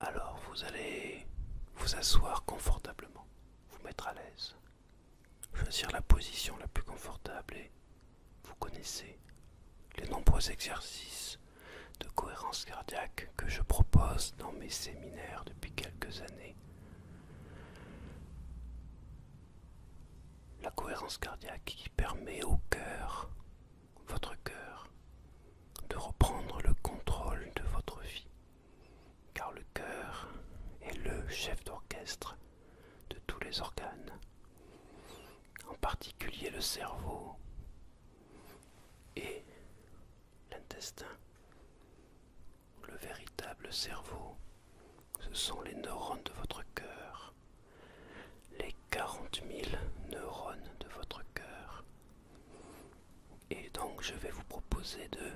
Alors vous allez vous asseoir confortablement, vous mettre à l'aise, choisir la position la plus confortable et vous connaissez les nombreux exercices de cohérence cardiaque que je propose dans mes séminaires depuis quelques années la cohérence cardiaque qui permet au cœur, votre cœur, de reprendre le contrôle de votre vie. Car le cœur est le chef d'orchestre de tous les organes, en particulier le cerveau et l'intestin, le véritable cerveau ce sont les neurones de votre cœur. Les 40 000 neurones de votre cœur. Et donc je vais vous proposer de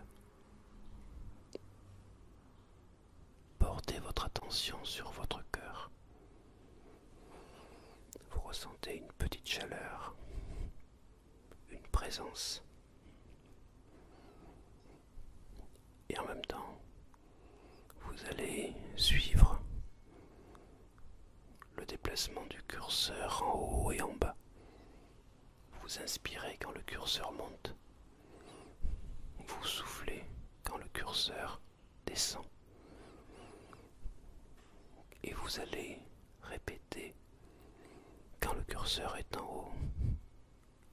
porter votre attention sur votre cœur. Vous ressentez une petite chaleur, une présence et en même temps, vous allez suivre le déplacement du curseur en haut et en bas. Vous inspirez quand le curseur monte. Vous soufflez quand le curseur descend. Et vous allez répéter quand le curseur est en haut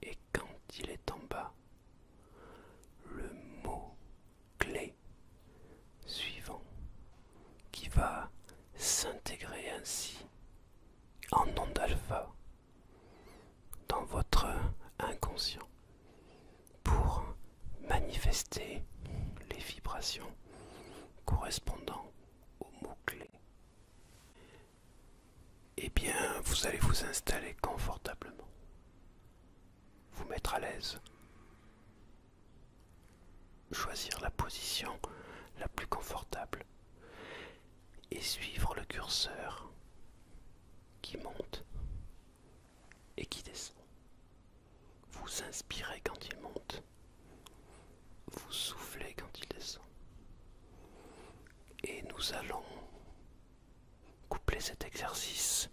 et quand il est en bas, le mot clé suivant qui va s'intégrer ainsi en ondes alpha dans votre inconscient pour manifester les vibrations correspondant au mot-clé eh bien vous allez vous installer confortablement, vous mettre à l'aise, choisir la position la plus confortable et suivre le curseur qui monte et qui descend. Vous inspirez quand il monte vous soufflez quand il descend. Et nous allons coupler cet exercice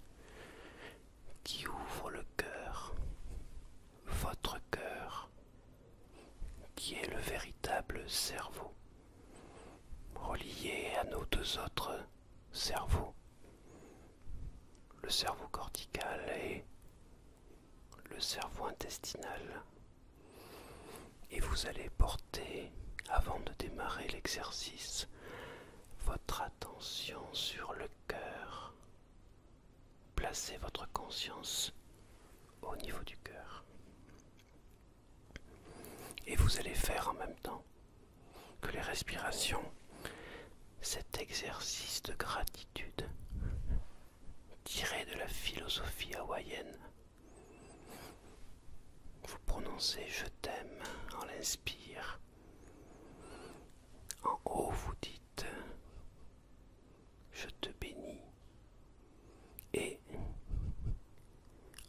qui ouvre le cœur, votre cœur, qui est le véritable cerveau, relié à nos deux autres cerveaux, le cerveau cortical et le cerveau intestinal et vous allez porter, avant de démarrer l'exercice, votre attention sur le cœur. Placez votre conscience au niveau du cœur. Et vous allez faire en même temps que les respirations cet exercice de gratitude tiré de la philosophie hawaïenne. Vous prononcez je t'aime en l'inspire. En haut, vous dites je te bénis. Et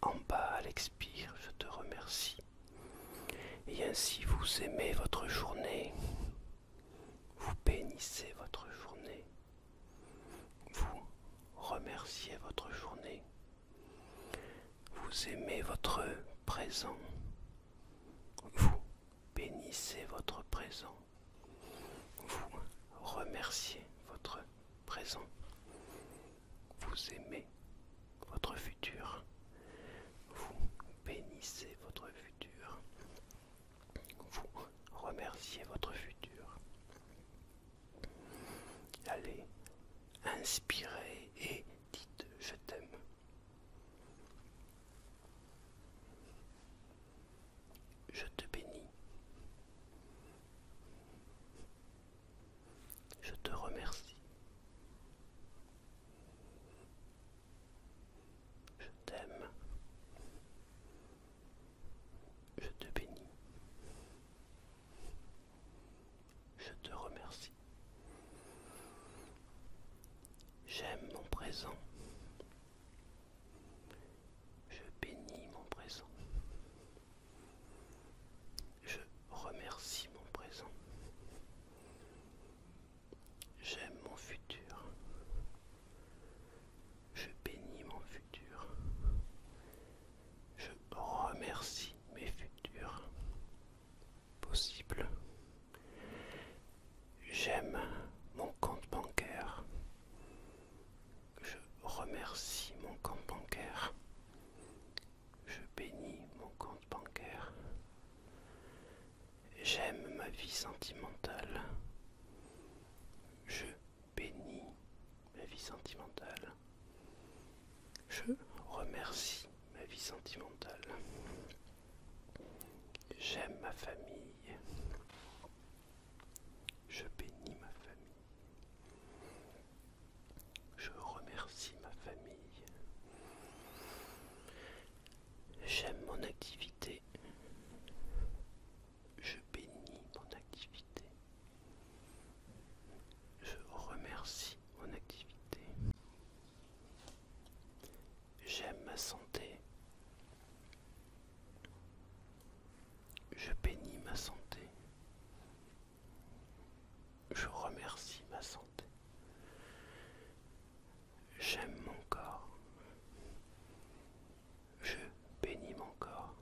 en bas, à l'expire, je te remercie. Et ainsi vous aimez votre journée vous bénissez votre journée, vous remerciez votre journée, vous aimez votre présent, vous bénissez votre présent, vous remerciez votre présent, vous aimez votre futur, vous bénissez votre futur, vous remerciez votre futur. Allez, inspirez et dites je t'aime. Je te bénis. Je te remercie. Je t'aime. Je te bénis. Je te remercie. J'aime mon présent. Je bénis mon présent. Je remercie mon présent. J'aime mon futur. Je bénis mon futur. Je remercie mes futurs possibles. J'aime mon compte bancaire. Je remercie mon compte bancaire. Je bénis mon compte bancaire. J'aime ma vie sentimentale. Je bénis ma vie sentimentale. Je remercie ma vie sentimentale. J'aime ma famille. Je bénis ma famille. Je remercie ma famille. J'aime mon activité. Je bénis mon activité. Je remercie mon activité. J'aime ma santé. Je bénis ma santé. Je remercie ma santé. J'aime mon corps. Je bénis mon corps.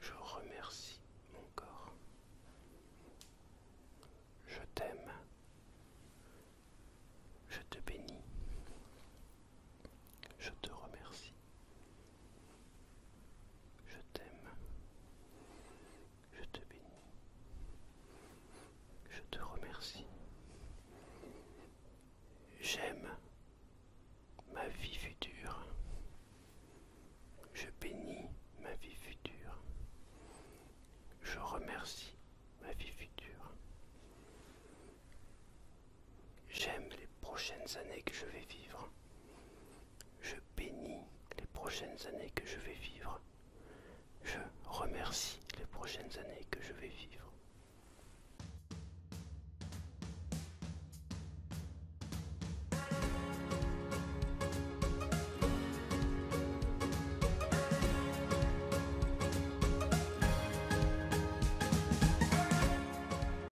Je remercie mon corps. Je t'aime. Je te bénis. Je te remercie. Je t'aime. Je te bénis. Je te remercie. J'aime ma vie future. Je bénis ma vie future. Je remercie ma vie future. J'aime les prochaines années que je vais vivre. Je bénis les prochaines années que je vais vivre. Je remercie les prochaines années que je vais vivre.